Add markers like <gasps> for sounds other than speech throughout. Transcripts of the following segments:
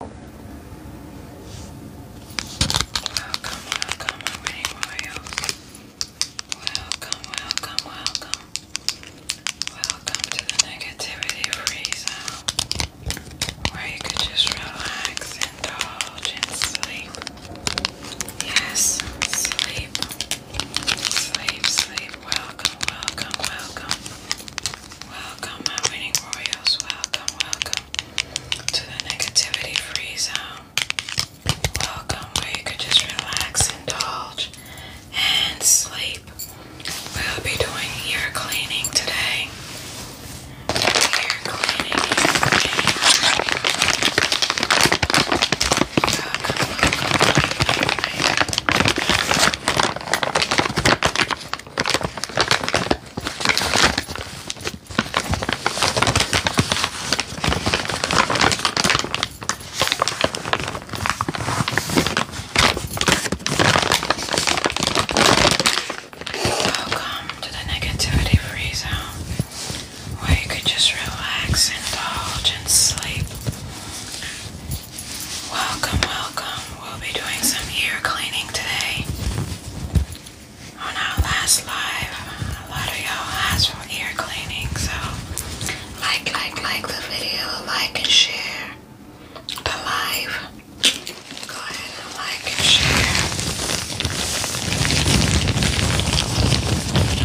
Welcome, welcome, already royals. Welcome, welcome, welcome. Welcome to the negativity free where you could just relax, indulge, and sleep. Yes, sleep. Sleep, sleep. Welcome, welcome, welcome. Welcome, my winning royals. Welcome, welcome to the negativity free zone. Welcome, where you could just relax, indulge, and sleep. We'll be doing ear cleaning today. Ear cleaning, Welcome to the negativity free where you could just relax, indulge, and sleep. Welcome, welcome. We'll be doing some ear cleaning today on our last live. A lot of y'all asked for ear cleaning, so like, like, like the video, like and share the live. Go ahead and like and share.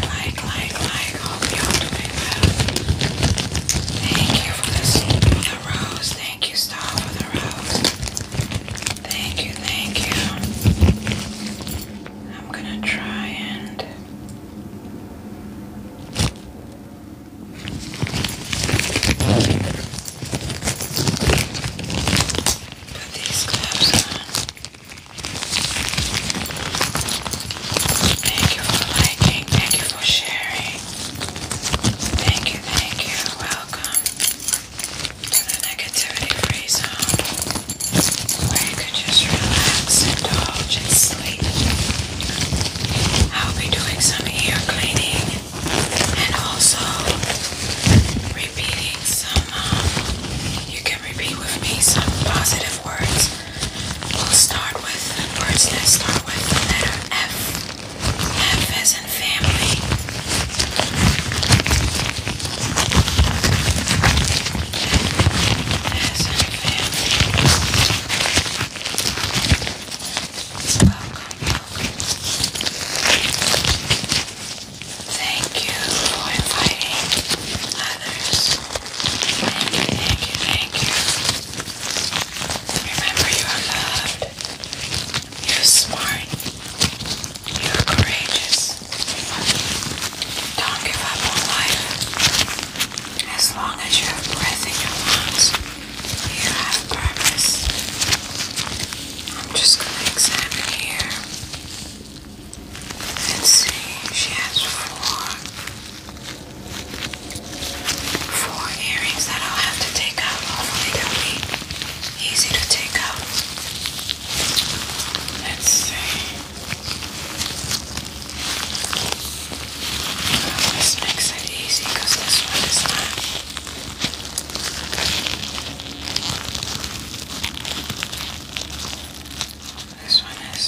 Like, like, like. Hope y'all doing well. Thank you for the, the rose. Thank you, Star, for the rose. Thank you, thank you. I'm gonna try and put these clips on. Thank you for liking, thank you for sharing. Thank you, thank you. Welcome to the negativity free zone where you just relax, indulge, and sleep. I'll be doing some ear cleaning and also repeating some, um, you can repeat with me some positive words. We'll start with words that start with the letter F. Memphis family. welcome. Thank you for inviting others. Thank you, thank you, thank you. Remember you are loved. You're smart. You're courageous. Don't give up on life. As long as you have breath in your lungs, you have purpose. I'm just going to examine here and see. She four four earrings that I'll have to take out. Hopefully they'll be easy to take out. Let's see. This makes it easy this one is not. This one is.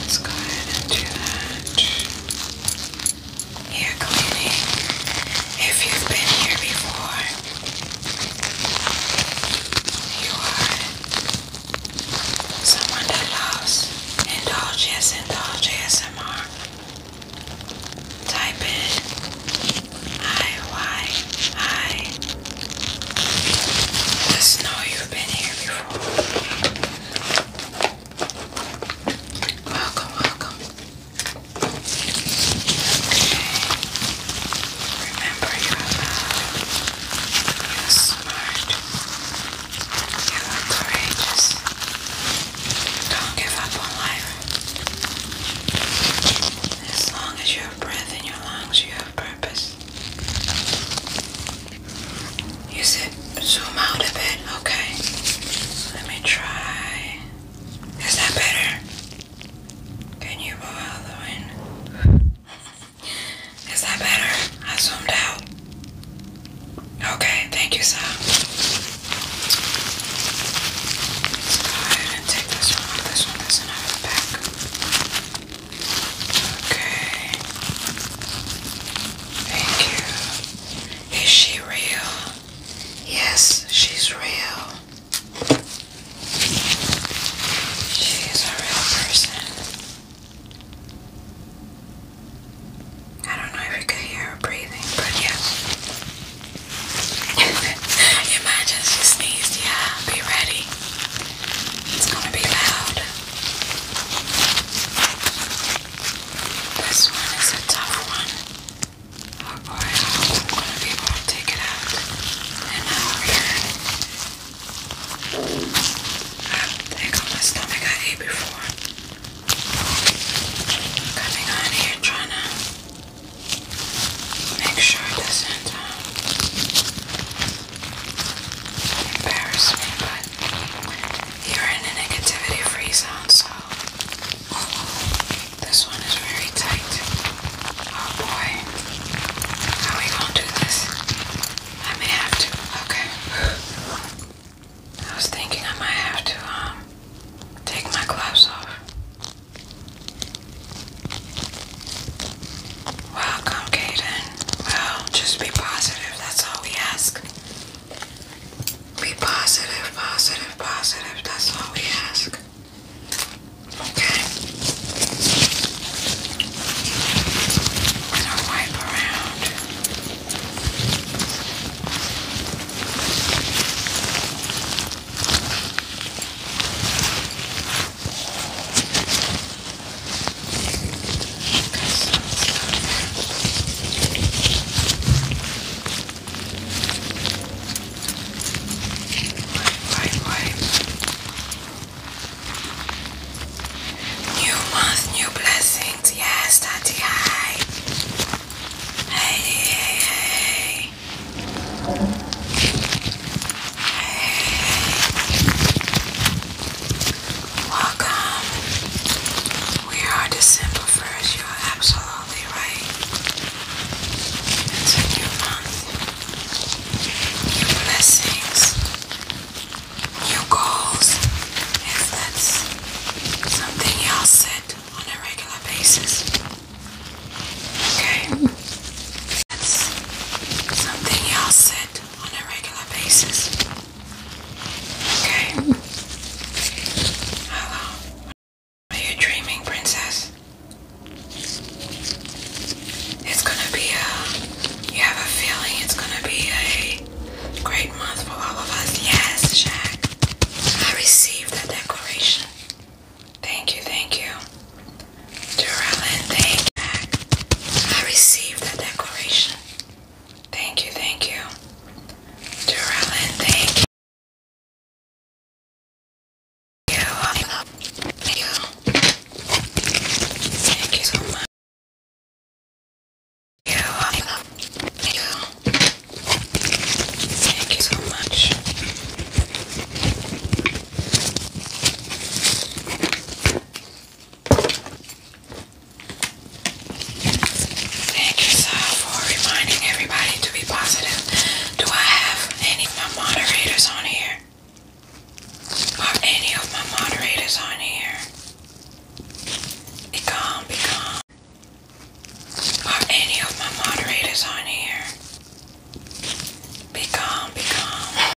Okay. Let's go ahead and do that much cleaning. If you've been here before, you are someone that loves indulges, indulge ASMR. Type in I-Y-I. Just know you've been here before. Welcome, welcome. Remember, you're allowed. You're smart. You're courageous. Don't give up on life. As long as you have breath in your lungs, you have purpose. You said zoom out a bit. Okay. Let me try. Is that better? Can you go out the window? <laughs> Is that better? I zoomed out. Okay, thank you, sir. Let's go ahead and take this one, this one, this one Okay. Thank you. Is she real? Yes, she's real. She's a real person. I don't know if you could hear her breathing, but yeah. <laughs> Imagine she sneezed, yeah. Be ready. It's gonna be loud. This one is a tough one, or, oh, or I hope I'm going to be able to take it out in an hour. That thing on my stomach I ate before. Coming on here trying to make sure it doesn't um, embarrass me, but you're in a negativity free zone, so this one is very tight. Oh boy, how are we gonna do this? I may have to. Okay. I was thinking I might have to um take my gloves off. Welcome, Kaden. Well, oh, just be positive. That's all we ask. Be positive, positive, positive. That's all we ask. Okay. And I'll wipe around. New month, new blessings. Yes, Daddy. Hi. Hey. Welcome. We are December 1st. You're absolutely right. new month. New blessings. New goals. If that's something y'all set on a regular basis. Okay. That's something y'all set on a regular basis. Okay. Hello. Are you dreaming, princess? It's gonna be a. You have a feeling it's gonna be a great month for all of us. Yes, Shaq. I received the declaration. Thank you, thank you. Duralin, thank you. I received the declaration. Thank you, thank you. Duralin, thank you. you. Thank you. so much. you. Thank you so much. Thank you, Sal, for reminding everybody to be positive. Do I have any of my moderators on here? Are any of my moderators on here? Be calm, be calm. Are any of my moderators on here? Be calm, be calm.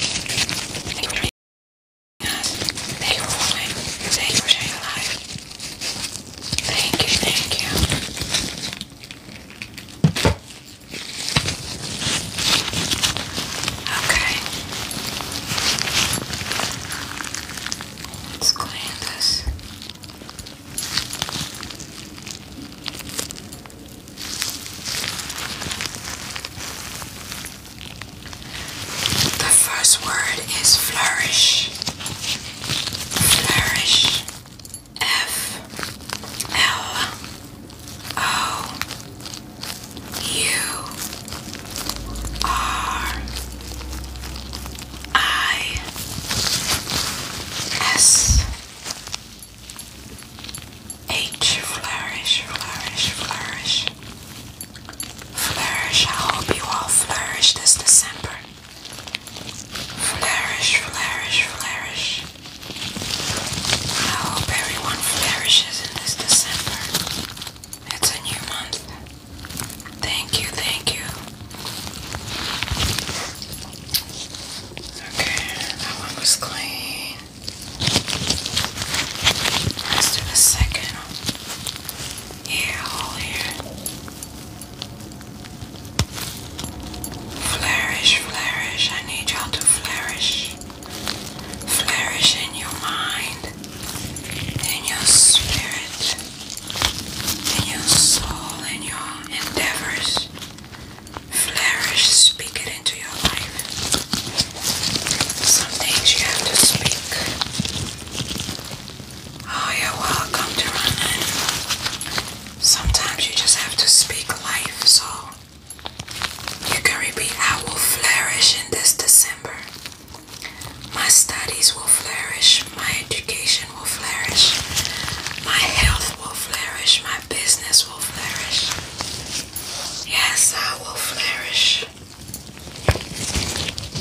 us. Thank you for watching. Thank you for sharing your life. Thank you, thank you. Okay. Let's clean this. The first word is flourish. Flourish. F L O U R I S H flourish, flourish, flourish. Flourish, I hope you all flourish this December. Flourish, flourish, flourish. I hope everyone flourishes in this December. It's a new month. Thank you, thank you. Okay, that one was clean. Let's do the second ear hole here. Flourish, flourish. I need y'all to flourish. Flourish in your mind, in your spirit, in your soul, in your endeavors flourish, speak it into your life. Some things you have to speak. Oh, you're welcome to run. Sometimes you just have to speak life, so you can repeat, I will flourish in this December. My studies will flourish, my education will flourish, my health will flourish, my business will flourish. Yes, I will flourish.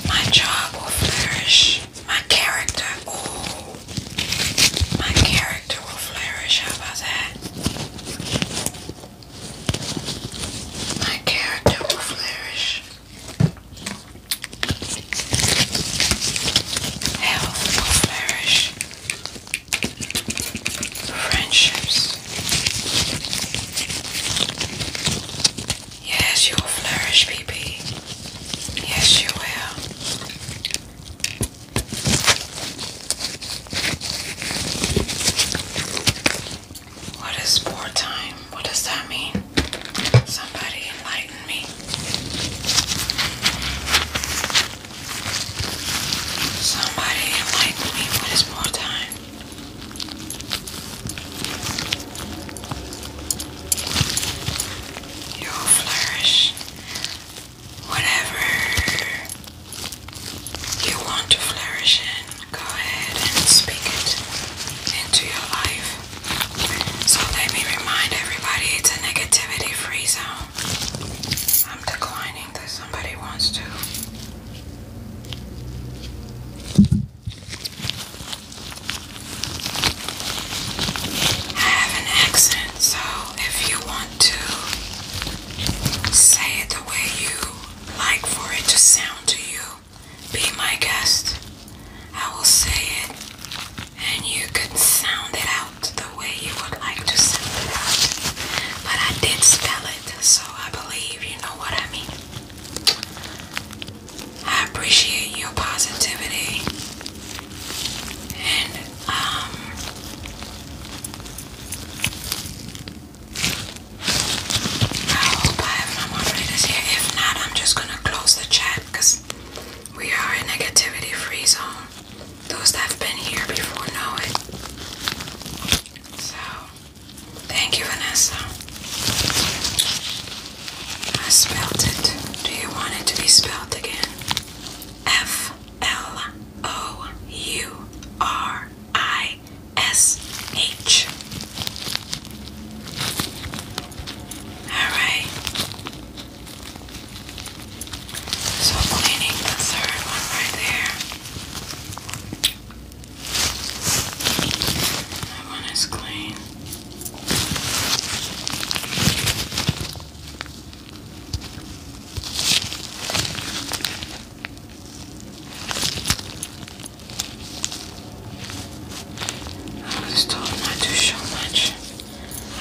My job will flourish. My character, oh, my character will flourish. How about that? My character will flourish. Health will flourish friendships. Yes, you will flourish, BB. Yes, you will. What is war What does that mean? Somebody enlighten me. Somebody like me when it's more time. You'll flourish whatever you want to flourish in. Go ahead and speak it into your life. So let me remind everybody it's a negativity free zone. I'm declining that somebody wants to. have an accent, so if you want to say it the way you like for it to sound to you, be my guest. I will say it and you can sound it out the way you would like to spell it But I did spell it, so I believe you know what I mean. I appreciate your positivity and um I hope I have no moderators here. If not, I'm just gonna close the chat because we are a negativity free zone. Those that have been here before know it. So, thank you, Vanessa. I spelled it. Do you want it to be spelled again? F L O U R I S H. All right. So cleaning the third one right there. one is clean. I was told not to show much.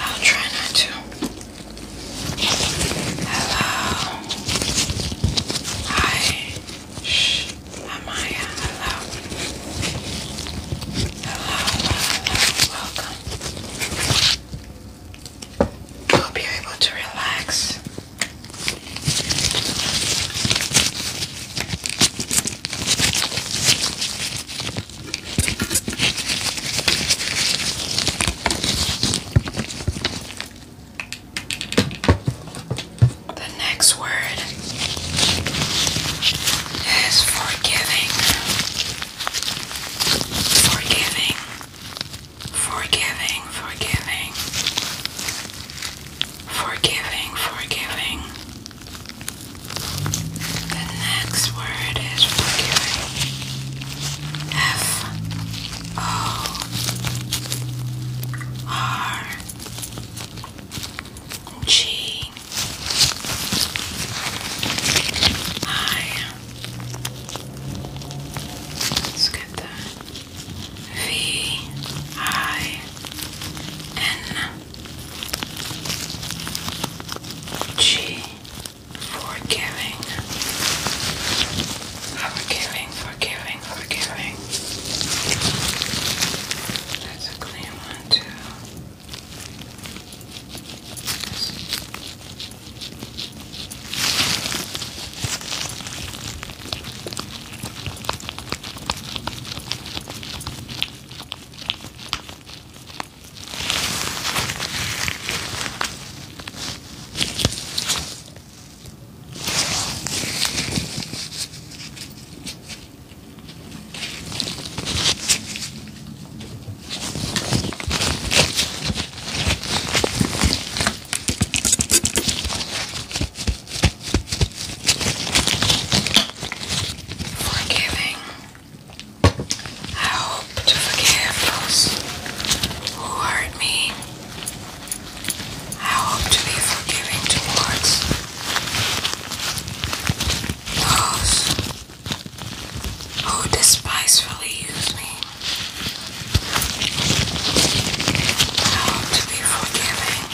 I'll try not to. Hello. Hi. Shh. Amaya. Hello. Hello. Hello. Welcome. Hope you're able to relax. The next word is forgiving. Forgiving. Forgiving, forgiving. Forgiving, forgiving. The next word is forgiving. F O R G I. Let's get the V I N G forgiving, forgiving, forgiving, forgiving. That's a clean one too. Forgiving. I hope to forgive those who hurt me. I hope to be forgiving towards those who despisefully use me. I hope to be forgiving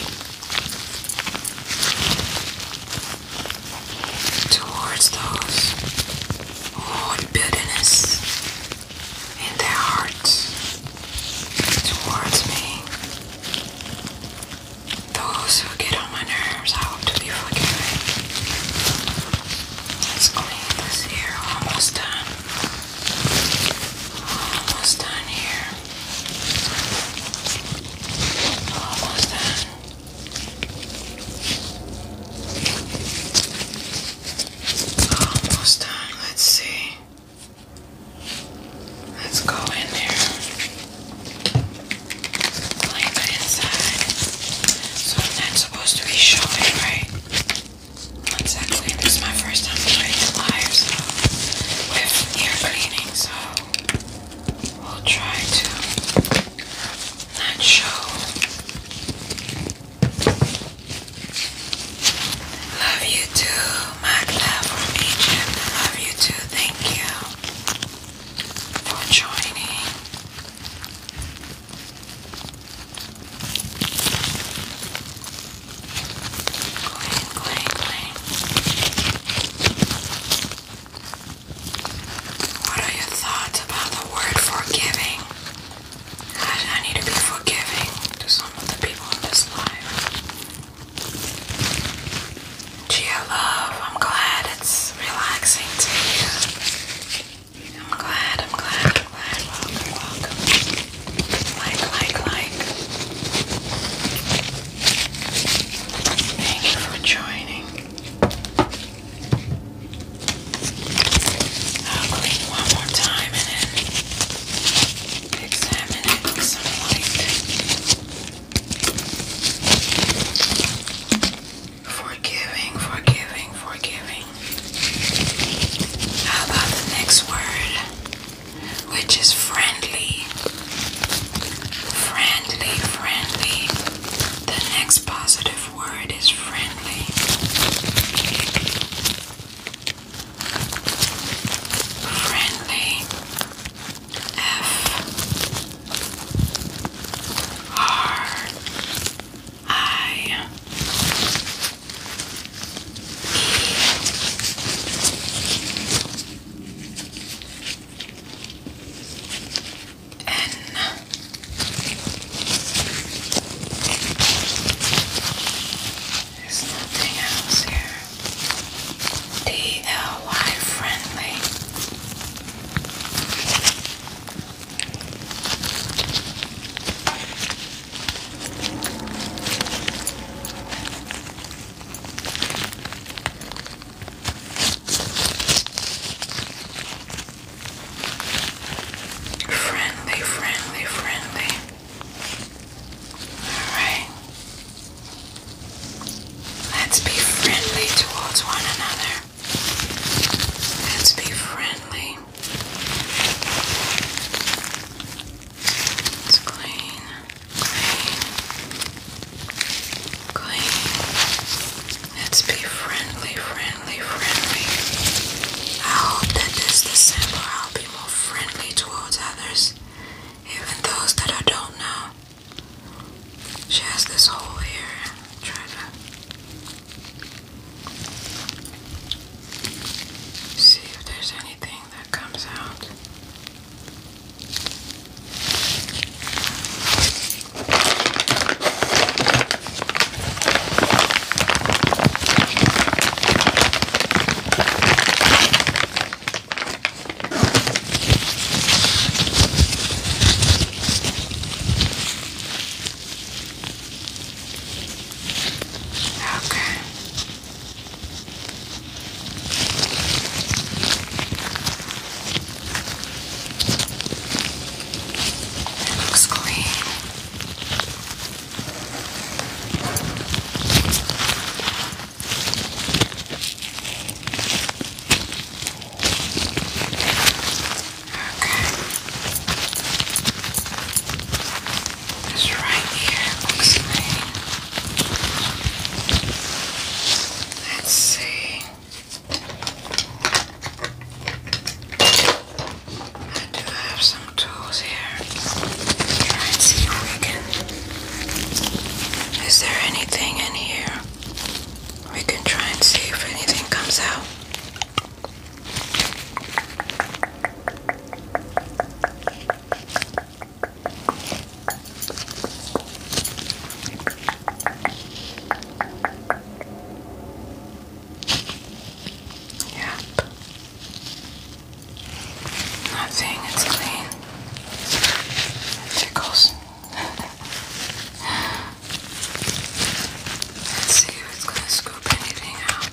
towards those who hold bitterness in their hearts towards me. Those who get on my nerves, I hope to be forgiven. Let's clean this here. Almost done. Almost done here. Almost done. Almost done. Let's see. Let's go in there. Clean inside. So i supposed to be showing, right? Once this is my first time doing it live, with ear cleaning, so we'll try to not show Love you too, Magda from Egypt. Love you too. Thank you for joining. Clean, clean, clean. What are your thoughts about the word forgiving? I, need to be forgiving to some of the people in this life. Gia love, I'm glad it's relaxing I'm glad, I'm glad, glad. Welcome, welcome. Like, like, like. Thank for joining. I'll clean one more time and then examine it with some Forgiving, forgiving, forgiving. How about the next word, which is friendly? Friendly, friendly. The next positive F word is friendly. Friendly. F. R. I. E. N. There's nothing else here. DIY friendly. Friendly, friendly, friendly. Alright. Let's be friendly towards one another. Let's be friendly. It's clean, clean, clean. Let's be friendly, friendly. I hope that this December I'll be more friendly towards others, even those that I don't know. She has this hole here. Try to see if there's anything that comes out. Okay. It looks clean. This right here looks like. Let's see. I do have some tools here. Try and see if we can. Is there anything in here? We can try and see if anything comes out. Yeah. Not saying it's clean. It Let's see if it's gonna scoop anything out.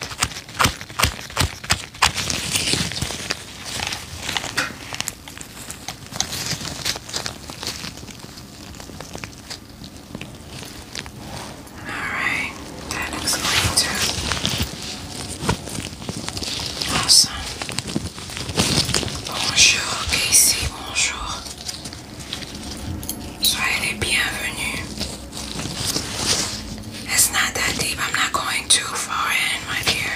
Alright, that looks great Awesome. Bonjour, Casey, bonjour. Soyez les It's not that deep, I'm not going too far in, my dear.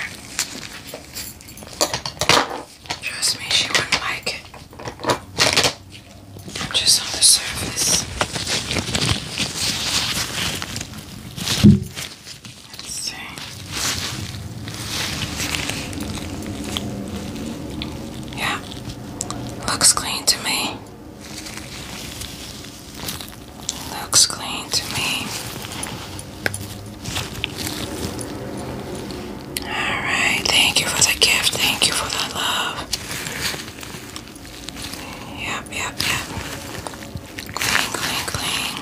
Trust me, she wouldn't like it. I'm just on the surface. Let's see. Yeah, looks clean to me. Looks clean to me. Alright, thank you for the gift. Thank you for the love. Yep, yep, yep. Clean, clean, clean.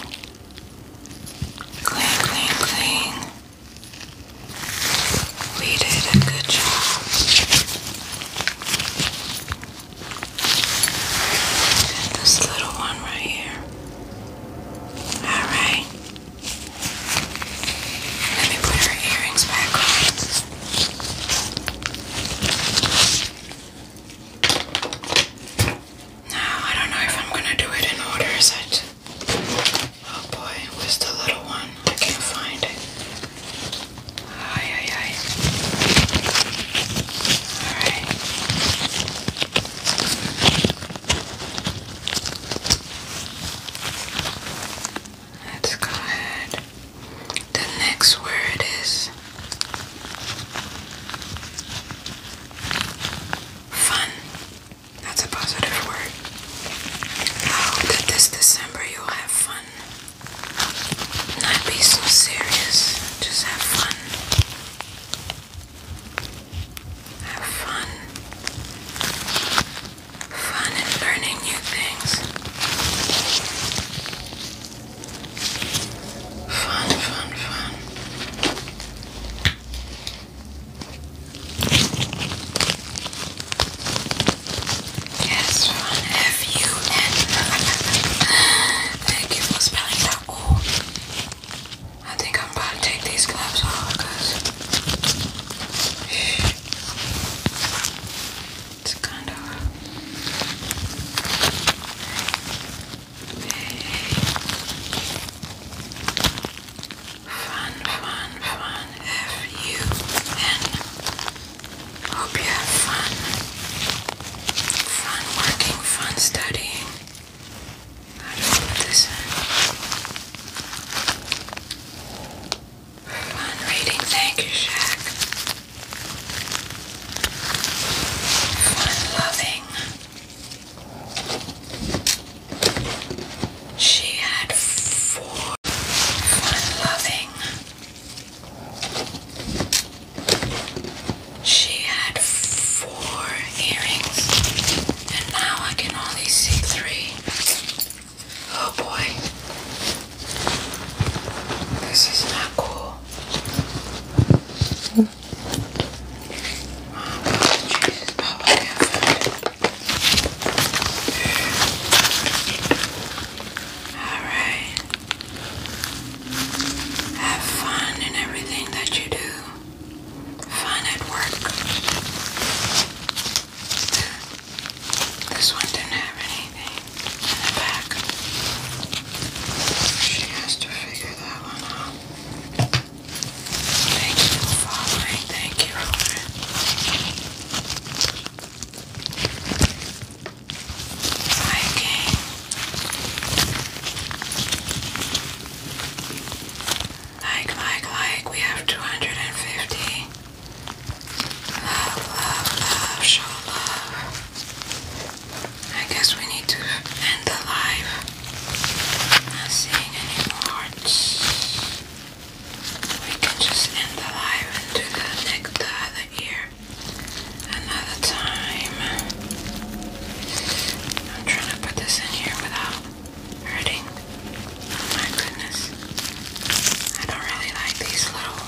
Clean, clean, clean. We did a good job. this little one right here. Alright. Let me put her earrings back on. Now, I don't know if I'm gonna do it in order, is Oh boy, where's the little one? I can't find it. Ay, ay, ay. Alright. Let's go ahead. The next word is fun. That's a positive word. I hope that this December you'll have fun. Not be so serious. Just have fun. Have fun fun and learning new things. Fun, fun, fun. Yes, fun. F U N. <laughs> Thank you for spelling that. Oh, I think I'm about to take these gloves off because. It's kind of Fun, fun, fun. F-U-N. Hope you have fun. Fun working, fun studying. I don't know this is. Fun reading, thank you, Shaq. Fun loving. She had four. Fun loving. She had four earrings, and now I can only see three. Oh boy. This is not cool. Oh, Alright. Have fun in everything that you do. Fun at work. This one didn't have anything in the back. She has to figure that one out. Thank you for following. Thank you, Like, like, like, we have 250. Love, love, love, show love. I guess we need to end the live. Not seeing any hearts. We can just end the live and do the next the other ear another time. I'm trying to put this in here without hurting. My goodness. I don't really like these little.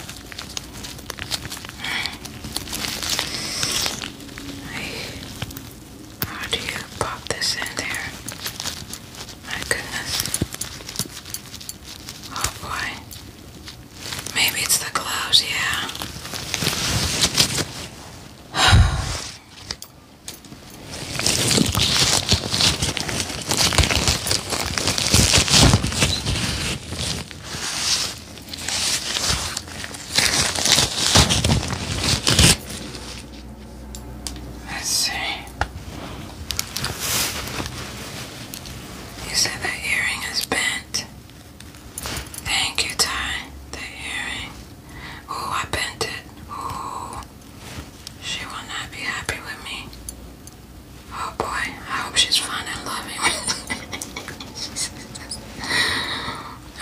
I... How do you pop this in there? My goodness. Oh boy. Maybe it's the gloves, yeah. <sighs> <sighs> Let's see. You said that earring is bent. Thank you, Ty. The earring. Ooh, I bent it. Ooh. She will not be happy with me. Oh boy, I hope she's fun and loving. <laughs>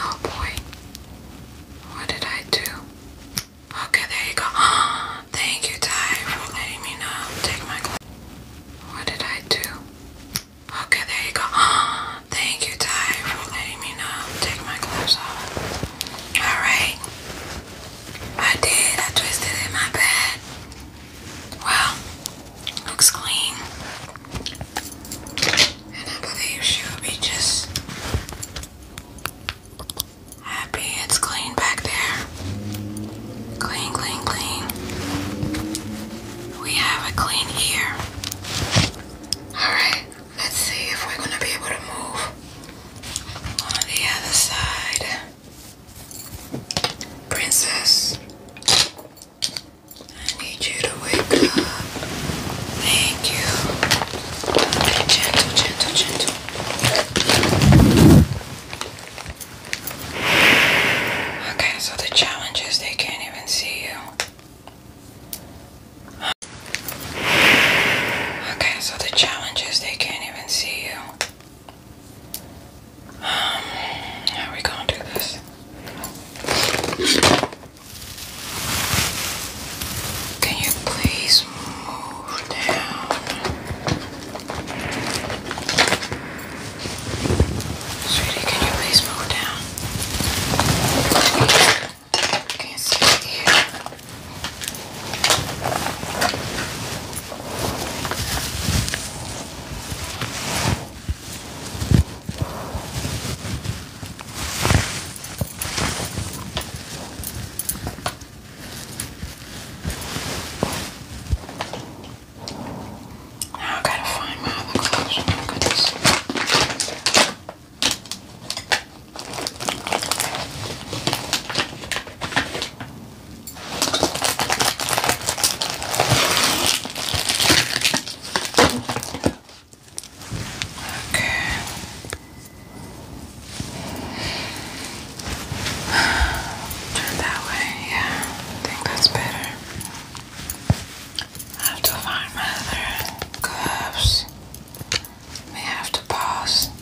oh boy, what did I do? Okay, there you go. <gasps> Thank you, Ty, for letting me know. Take my class. What did I do? Okay, there you go. <gasps> Thank you, Ty, for letting me know. Take my gloves off. Alright. I did. I twisted in my bed. Wow, looks clean. And I believe she will be just happy it's clean back there. Clean, clean, clean. We have a clean ear. Alright, let's see if we're going to be able to move on the other side. Princess, I need you to wake up. Thank you. gentle, gentle, gentle. Okay, so the challenge is they can't even see you. Okay, so the challenge is they can't even see you. How we gonna do this? Can you please move down? Sweetie, can you please move down? I can't see here. Now I gotta find my other gloves. Oh my goodness. Okay. Turn that way, yeah. I think that's better. I have to find my other gloves. We have to pause.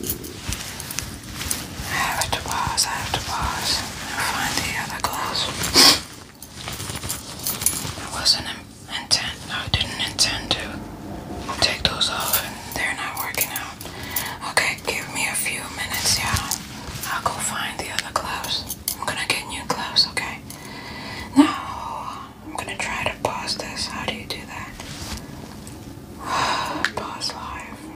I have to pause, I have to pause and find the other glass. I wasn't intent, I didn't intend to take those off and they're not working out. Okay, give me a few minutes, you I'll go find the other clothes. I'm gonna get new clothes, okay? Now, I'm gonna try to pause this. How do you do that? <sighs> Pause live.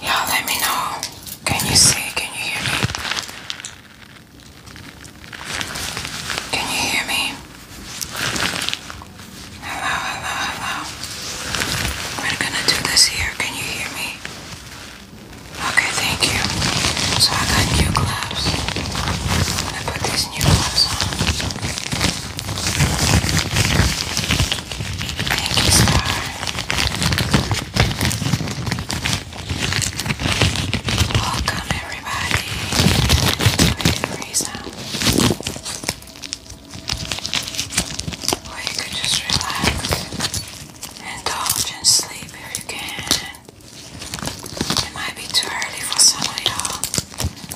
Yeah, let me know. Can you see? Can you hear me? Can you hear me? Hello, hello, hello. We're gonna do this here. Can you hear me? Okay, thank you. So I got new gloves. i put these new gloves on. Thank you, Star. Welcome, everybody. Or you could just relax, indulge in sleep if you can. It might be too early for some of y'all.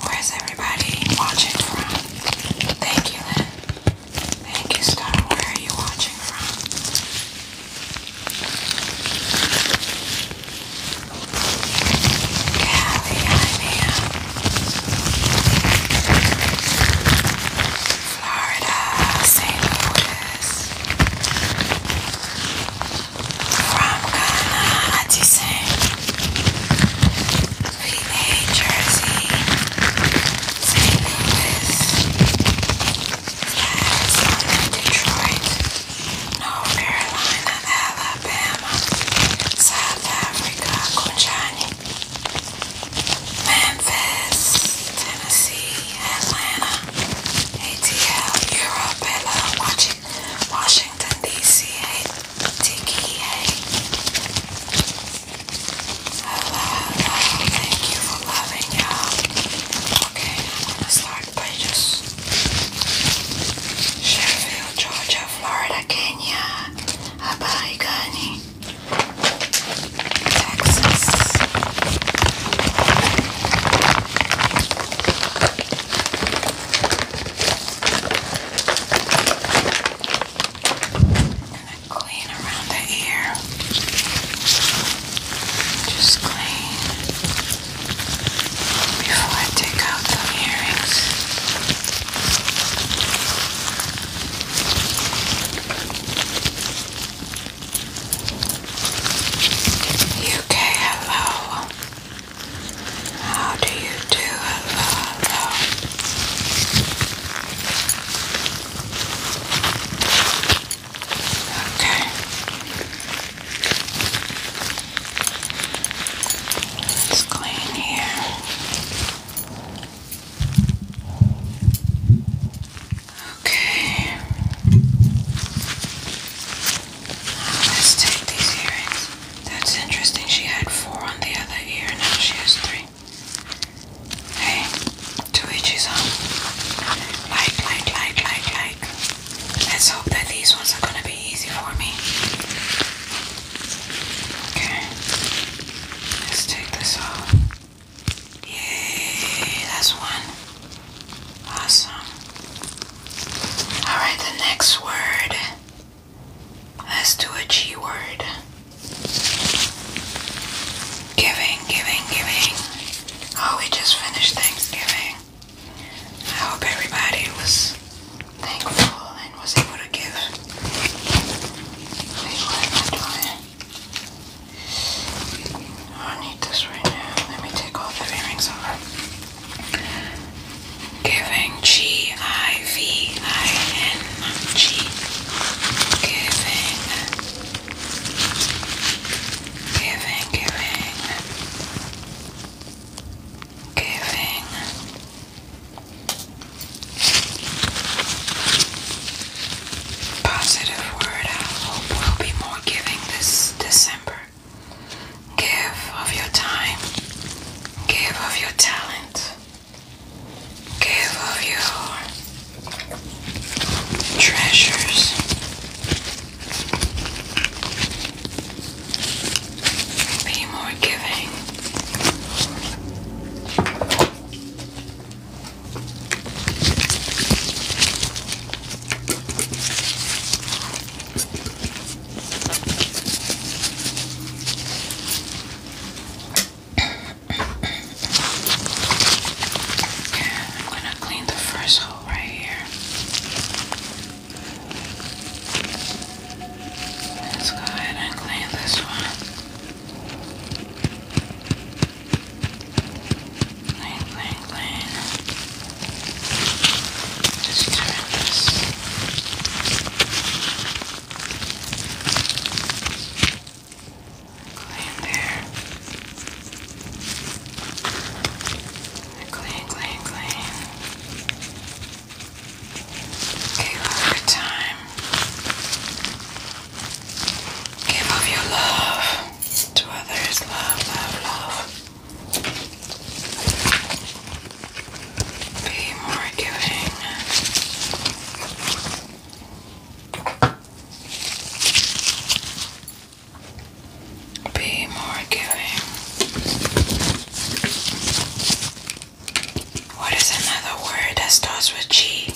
Where's everybody watching from? Thank you, Lynn. Thank you, Star. Where are you watching from? Callie, Florida, St. Louis from Ghana, Addison, Jersey, St. Louis, Detroit, North Carolina, Alabama, South Africa, Conchani, Memphis, Tennessee, Atlanta, ATL, Europe, Hello, Washington, D.C., Tiki, hey. Hello, hello. Thank you for loving, y'all. Okay, I'm gonna start by just Sheffield, Georgia, Florida, Kenya, Abaigani, Texas. And then clean around the ear. Just clean before I take out the earrings. UK, hello. How do you do it, Father? Okay. It's clean here. Okay. let's take these earrings. That's interesting. She had four on the other ear, now she has three. Hey, to each his own. Like, like, like, like, Let's hope that these ones are gonna be easy for me. Okay, let's take this off. Yay, that's one. Awesome. Alright, the next word Let's do a G word. Giving, giving, giving. Oh, we just finished Thanksgiving. I hope everybody was thankful and was able to give. I need this right now. Let me take all the earrings off. Giving G I V I N G. Giving. Giving, giving. Giving. Positive word. I hope we'll be more giving this December. Give of your time. Give of your talent. Give of your treasures. Be more giving. I'm going to clean the first hole right here. Let's go ahead and clean this one. Clean, clean, clean. Just turn this. Clean there. Clean, clean, clean. Give up your time. Give up your love to others. Love, love, love be more giving. Be more giving. What is another word that starts with G?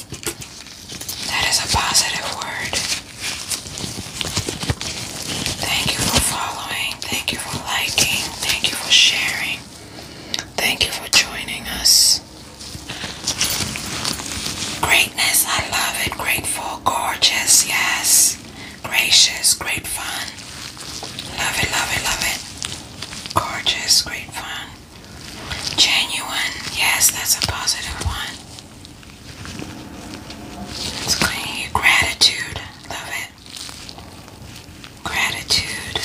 That is a positive word. Thank you for following. Thank you for liking. Thank you for sharing. Thank you for joining us. Greatness, I love it. Grateful, gorgeous, yes. Gracious, great fun. Love it, love it, love it. Gorgeous, great fun. Genuine, yes, that's a positive one. It's clean. Gratitude, love it. Gratitude.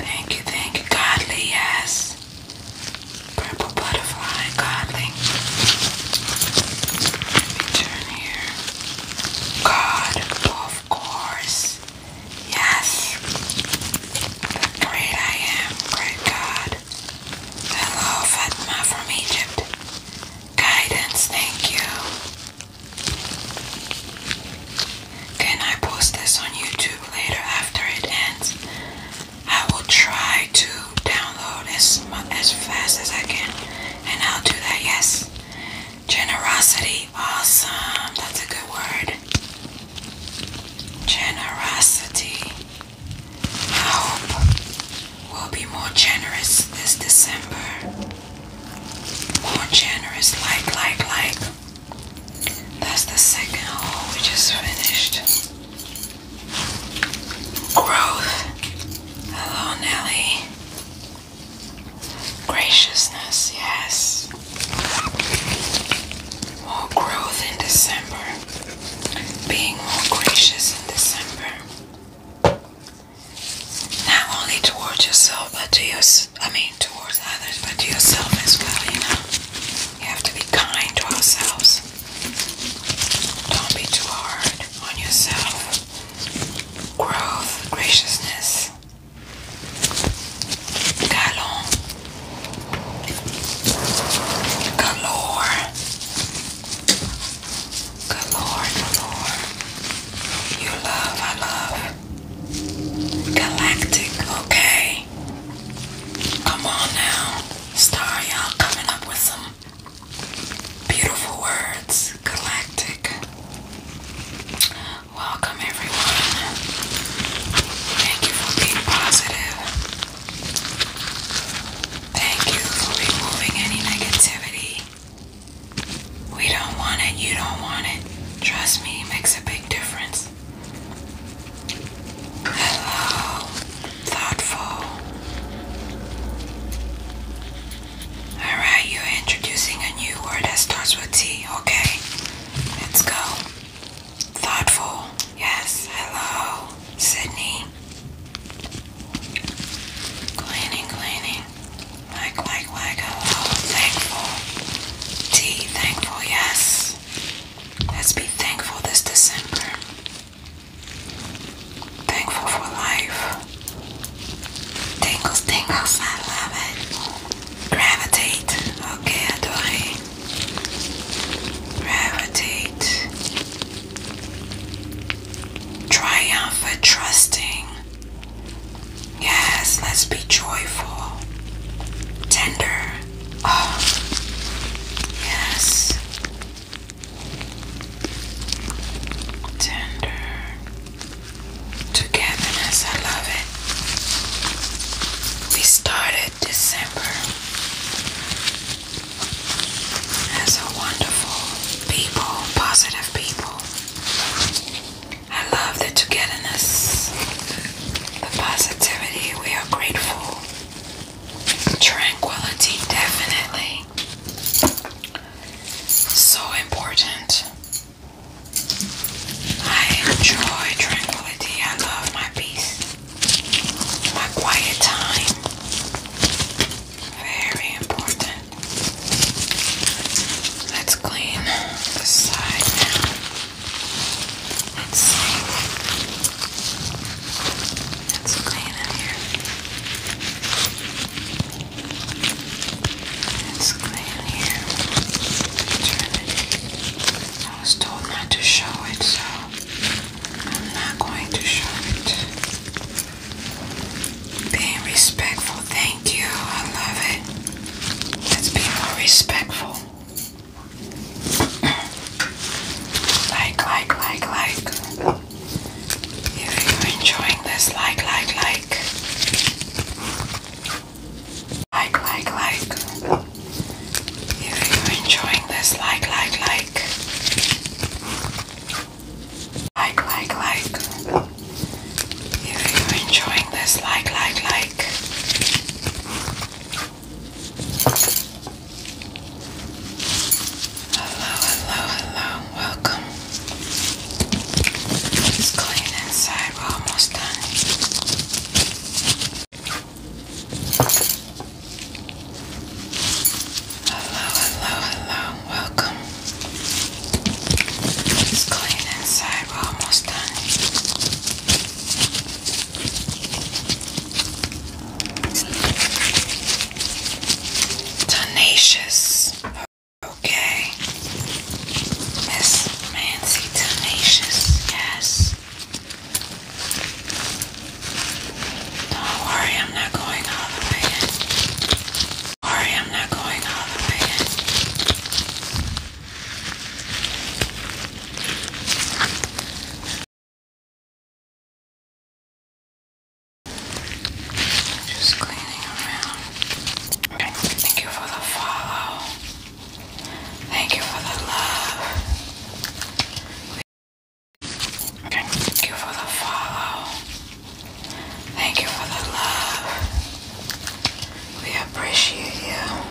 Thank you, thank you. Godly, yes. Purple butterfly, godly. Let me turn here. God, of course. Yes. great I am, great God. Hello, Fatma from Egypt. Guidance, thank you. Can I post this on YouTube later after it ends? I will try to download as as fast as I can, and I'll do that. Yes, generosity, awesome. That's a good word. Generosity. I will be more generous this December. More generous, like, like, like. That's the second hole we just finished. Growth. Hello, Nelly. Graciousness, yes. More growth in December. Being more gracious in December not only towards yourself, but to your, I mean, towards others, but to yourself as well, you know. You have to be kind to ourselves. Don't be too hard on yourself. Growth, graciousness. Galon. Galore. Galore, galore. You love, I love. Galactic, okay. Come on now. Star, y'all coming up with some beautiful words. Galactic. Welcome, everyone. Thank you for being positive. Thank you for removing any negativity we don't want it, you don't want it. Trust me, it makes a big difference. Hello, thoughtful. Alright, you're introducing a new word that starts with T, okay? Let's go. Thoughtful, yes, hello, Sydney. Cleaning, cleaning. Whack, whack, whack. Oh, thankful. Tea, thankful, yes. Let's be thankful this December. Thankful for life. Tingles, tingles, I love it. Gravitate. Okay, adore. Gravitate. Triumph for trusting. Yes, let's be joyful. Tender. Oh, yes. Tender. Togetherness, I love it. We started December they're wonderful people, positive people. I love the togetherness, the positivity. We are grateful. Tranquility, definitely. So important. I enjoy tranquility. I love my peace, my quiet time. Very important. Let's clean the side now. Let's clean it here. Let's clean here. I was told not to show it, so I'm not going to show it. Being respectful, thank you. I love it. Let's be more respectful. <clears throat> like, like, like, like. If you're enjoying this, like, like, like. Like, like, like. If you're enjoying this, like, like, like. Like, like, like. If you're enjoying this, like, like, like. Hello, hello, hello. Welcome. It's clean inside. We're almost done. Hello, hello, hello, welcome. let clean inside, almost done. Tenacious. Okay. Miss Nancy Tenacious, yes. Don't worry, I'm not going all the way in. Don't worry, I'm not going all the way in. Just cleaning around. Thank you for the follow. Thank you for the love. Thank you for the follow. Thank you for the love. We appreciate you.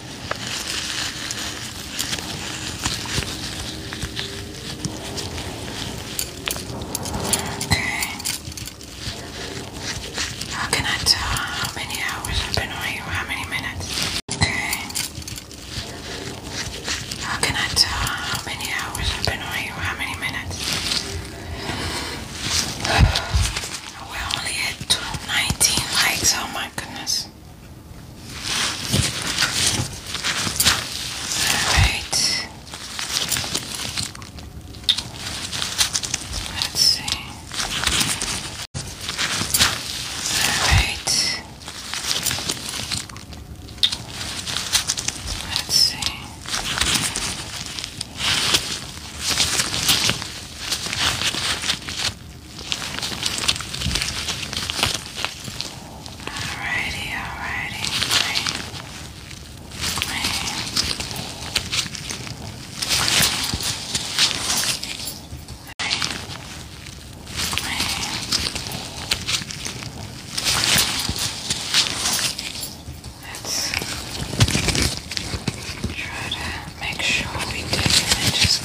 How can I tell how many hours I've been on you? How many minutes? How can I tell how many hours I've been on you? How many minutes? <sighs> We're only at 19 likes on my my goodness. Alright. Let's see. Alright. Let's see. Alrighty, alrighty, great, great, Let's try to make sure we dig in just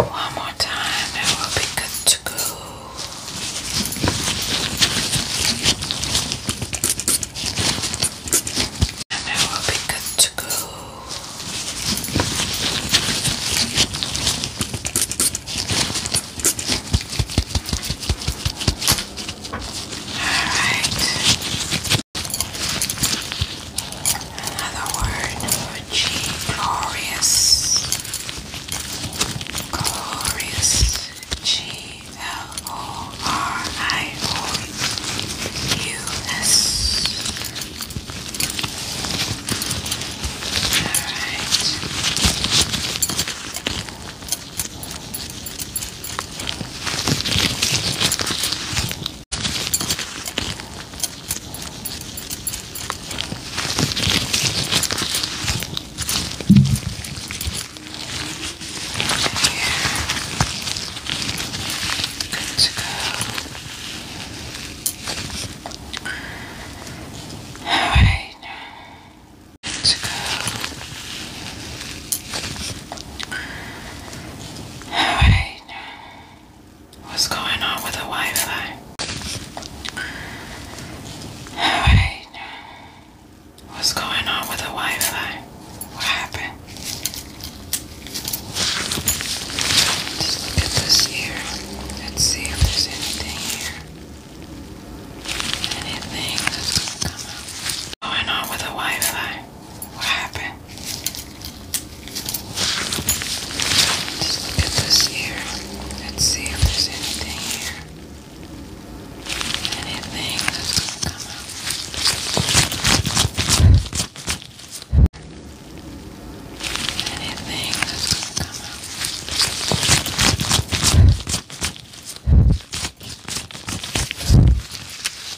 one more time and will be good to go. it will be good to go. Alright. Another word for glorious. Glorious. G L O R I O U S. Alright. Good to go. All right. Good to go. All right. What's going on with the Wi-Fi? Alright. What's going on with the Wi-Fi? What happened? Just look at this here. Let's see if there's anything here. Anything going on with the Wi-Fi? What happened? Just look at this here. Let's see if there's anything here. Anything that's going to come out. Anything that's going to come out.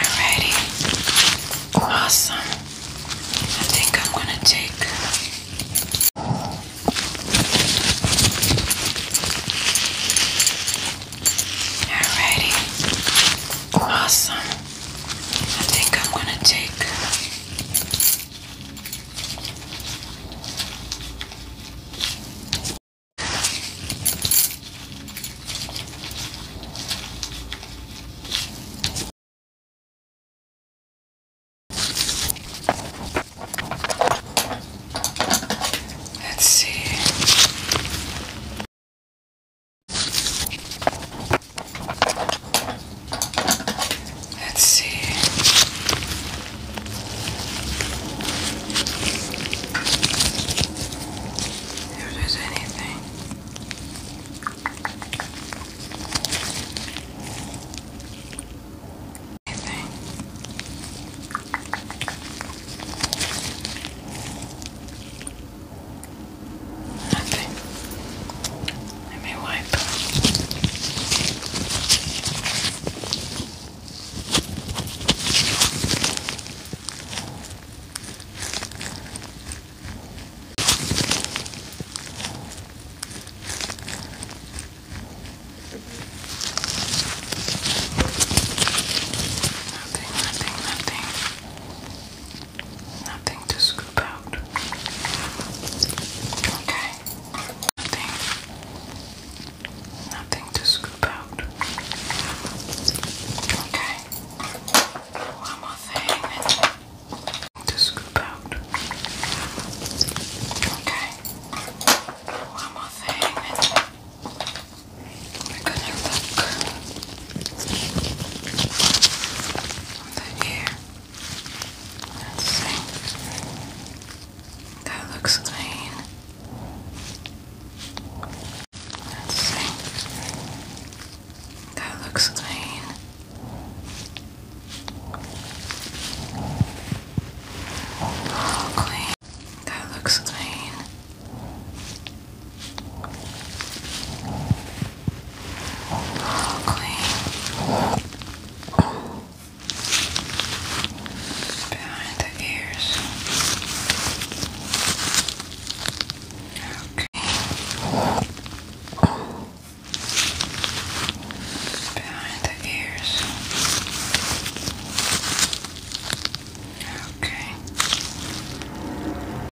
Alrighty. Awesome. I think I'm gonna take Alrighty. Awesome. I think I'm going to take Let's see. Let's see. If there's anything. Anything. Nothing. Let me wipe. Nothing, nothing, nothing. Nothing to scoop out. Okay. Nothing. Nothing to scoop out. Okay. One more thing. to scoop out. Okay. One more thing. We're gonna look on Let's see. That looks clean. Let's see. That looks clean. Oh, clean. That looks clean. Okay. Behind the ears. Okay. Behind the ears. Okay.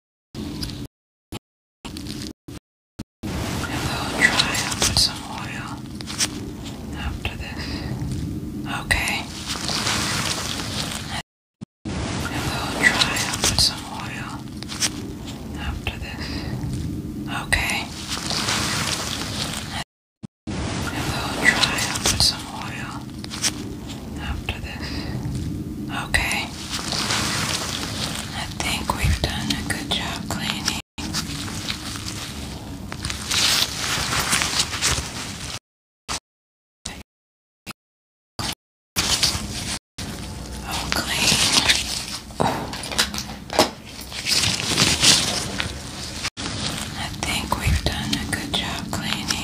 And we'll try and some oil after this. Okay. And we'll try and some oil after this. Okay. And we'll try and some oil after this. Okay. I think we've done a good job cleaning. Oh, I think we've done a good job cleaning.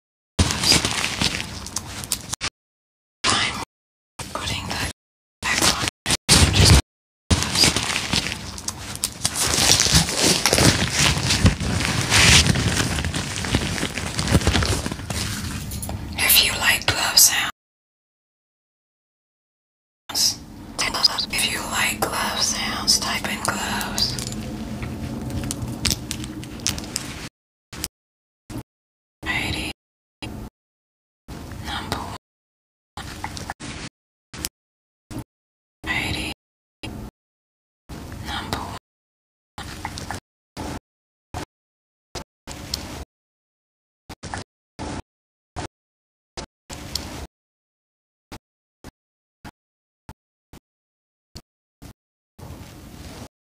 If you like glove sounds, if you like glove sounds, type in gloves. Eighty number one. Eighty number one.